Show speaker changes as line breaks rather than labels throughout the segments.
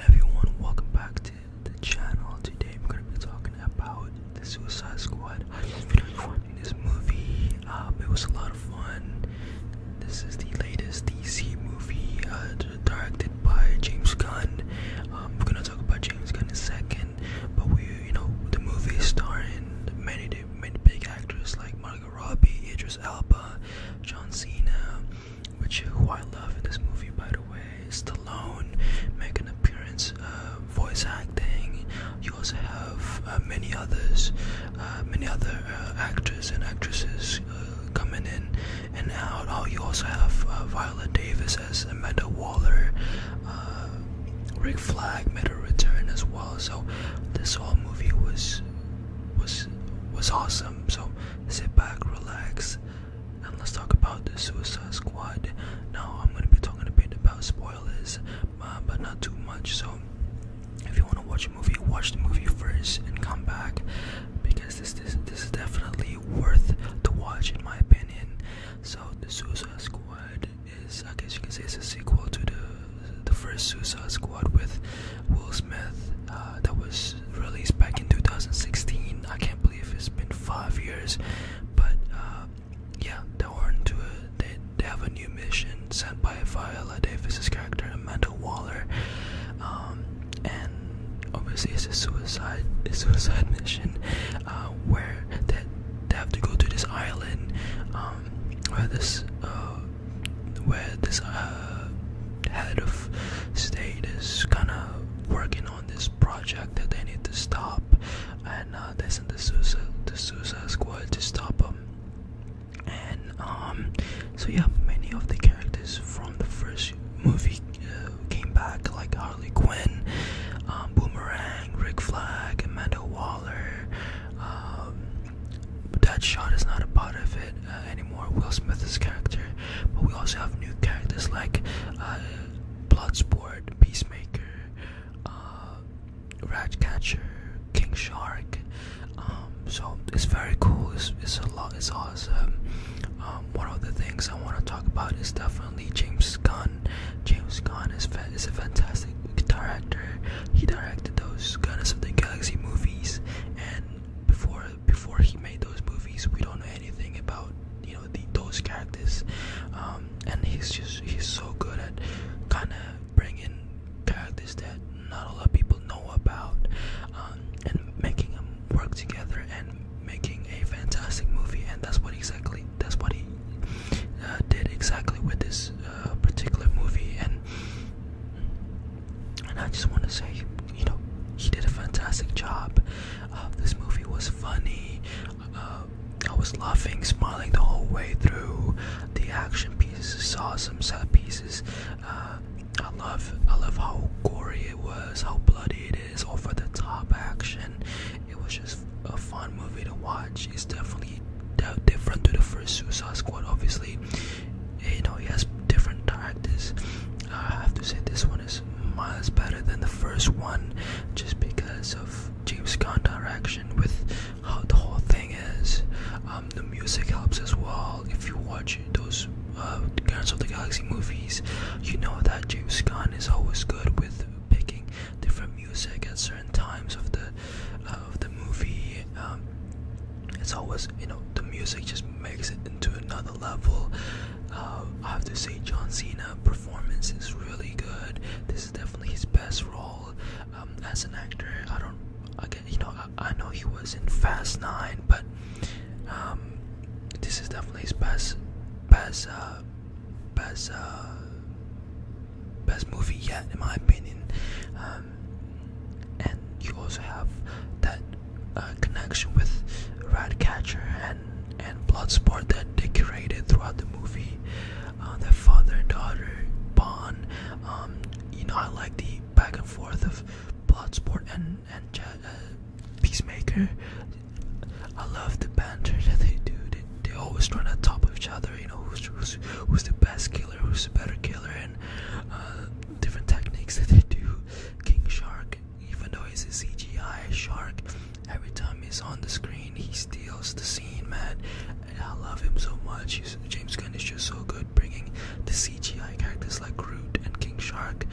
everyone welcome back to the channel today i'm going to be talking about the suicide squad in this movie um, it was a lot of fun this is the latest dc movie uh, directed by james gunn um, we're going to talk about james gunn in a second but we you know the movie is starring many many big actors like margot robbie idris elba john cena which who I love in this movie by the way. Stallone make an appearance, uh, voice acting. You also have uh, many others, uh, many other actors and actresses coming in and out. Oh, you also have Violet Davis as Amanda Waller. Rick Flag made a return as well. So this whole movie was was was awesome. So sit back, relax, and let's talk about the Suicide Squad. Now, I'm gonna be talking a bit about spoilers, uh, but not too much. So, if you wanna watch a movie, watch the movie first and come back, because this this is definitely worth to watch, in my opinion. So, the Suicide Squad is, I guess you can say, it's a sequel to the the first Suicide Squad with Will Smith uh, that was released back in 2016. I can't believe it's been five years, but uh, yeah, they were into it. They, they have a new mission sent by Viola Davis's character Amanda Waller, um, and obviously it's a suicide, a suicide mission uh, where they, they have to go to this island um, where this where this uh, head of state is kind of working on this project that they need to stop, and uh, they sent the Suicide, the Suicide Squad to stop them. And um, so yeah, many of the characters from the first movie uh, came back, like Harley Quinn, um, Boomerang, Rick Flag, Amanda Waller, um, but that shot is not a part of it uh, anymore. Will Smith's character, but we also have new characters like uh, Bloodsport, Peacemaker, uh, Ratcatcher, King Shark. Um, so it's very cool. It's, a lot. It's awesome. Um, one of the things I want to talk about is definitely James Gunn. James Gunn is is a fantastic amazing director. He directed those Guardians of the Galaxy movies, and before before he made those movies, we don't know anything about you know the, those characters. Um, and he's just he's so good at kind of bringing characters that not a lot of people know about, um, and making them work together and making a fantastic movie. And that's what exactly that's what he uh, did exactly with this a particular movie, and and I just want to say, you know, he did a fantastic job. Uh, this movie was funny. Uh, I was laughing, smiling the whole way through. The action pieces, saw some set pieces. Uh, I love, I love how gory it was, how bloody it is, over the top action. It was just a fun movie to watch. It's definitely different to the first Suicide Squad, obviously. You know, he has different characters. I have to say, this one is miles better than the first one just because of James Gunn direction with how the whole thing is. Um, the music helps as well. If you watch those uh, Guardians of the Galaxy movies, you know that James Gunn is always good with picking different music at certain times of the uh, of the movie. Um, it's always you know the music just makes it into another level. Uh, I have to say John Cena performance is really good. This is definitely his best role um, as an actor. I don't again you know I, know he was in Fast Nine, but um, this is definitely his best best. Uh, best uh, best movie yet, in my opinion. Um, and you also have that uh, connection with Ratcatcher and and Bloodsport that they created throughout the movie. Uh, their father and daughter bond. Um, you know, I like the back and forth of Bloodsport and and. Uh, Peacemaker, I love the banter that they do. They, always run on top of each other. You know who's who's, the best killer, who's the better killer, and uh, different techniques that they do. King Shark, even though he's a CGI shark, every time he's on the screen, he steals the scene, man. And I love him so much. James Gunn is just so good bringing the CGI characters like Groot and King Shark,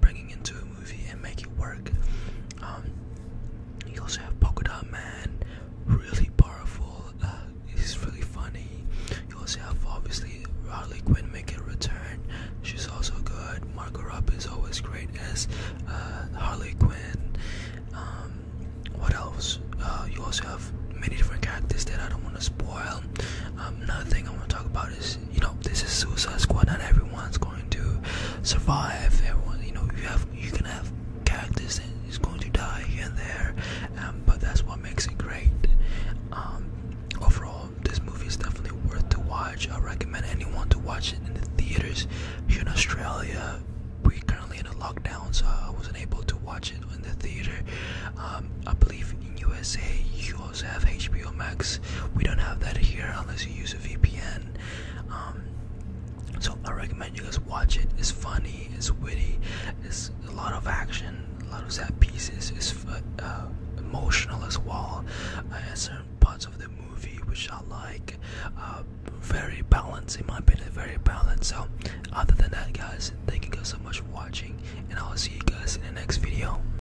bringing into a movie and make it work. Um, you also have Polka Man, really powerful. Uh, he's really funny. You also have obviously Harley Quinn making a return. She's also good. Margot Robbie is always great as uh, Harley Quinn. Um, what else? Uh, you also have many different characters that I don't want to spoil. Um, another thing I want to talk about is you know this is Suicide Squad. Not everyone's going to survive. Everyone, you know, you have you can have characters and is going to die here and there, um, but that's what makes it great. Um, overall, this movie is definitely worth to watch. I recommend anyone to watch it in the theaters here in Australia. We're currently in a lockdown, so I wasn't able to watch it in the theater. Um, I believe in USA you have HBO Max. We don't have that here unless you use a VPN. Um, so I recommend you guys watch it. It's funny, it's witty, it's a lot of action, a lot of sad pieces. It's uh, uh, emotional as well. Uh, certain parts of the movie which I like. Uh, very balanced, in my opinion, very balanced. So other than that, guys, thank you guys so much for watching, and I will see you guys in the next video.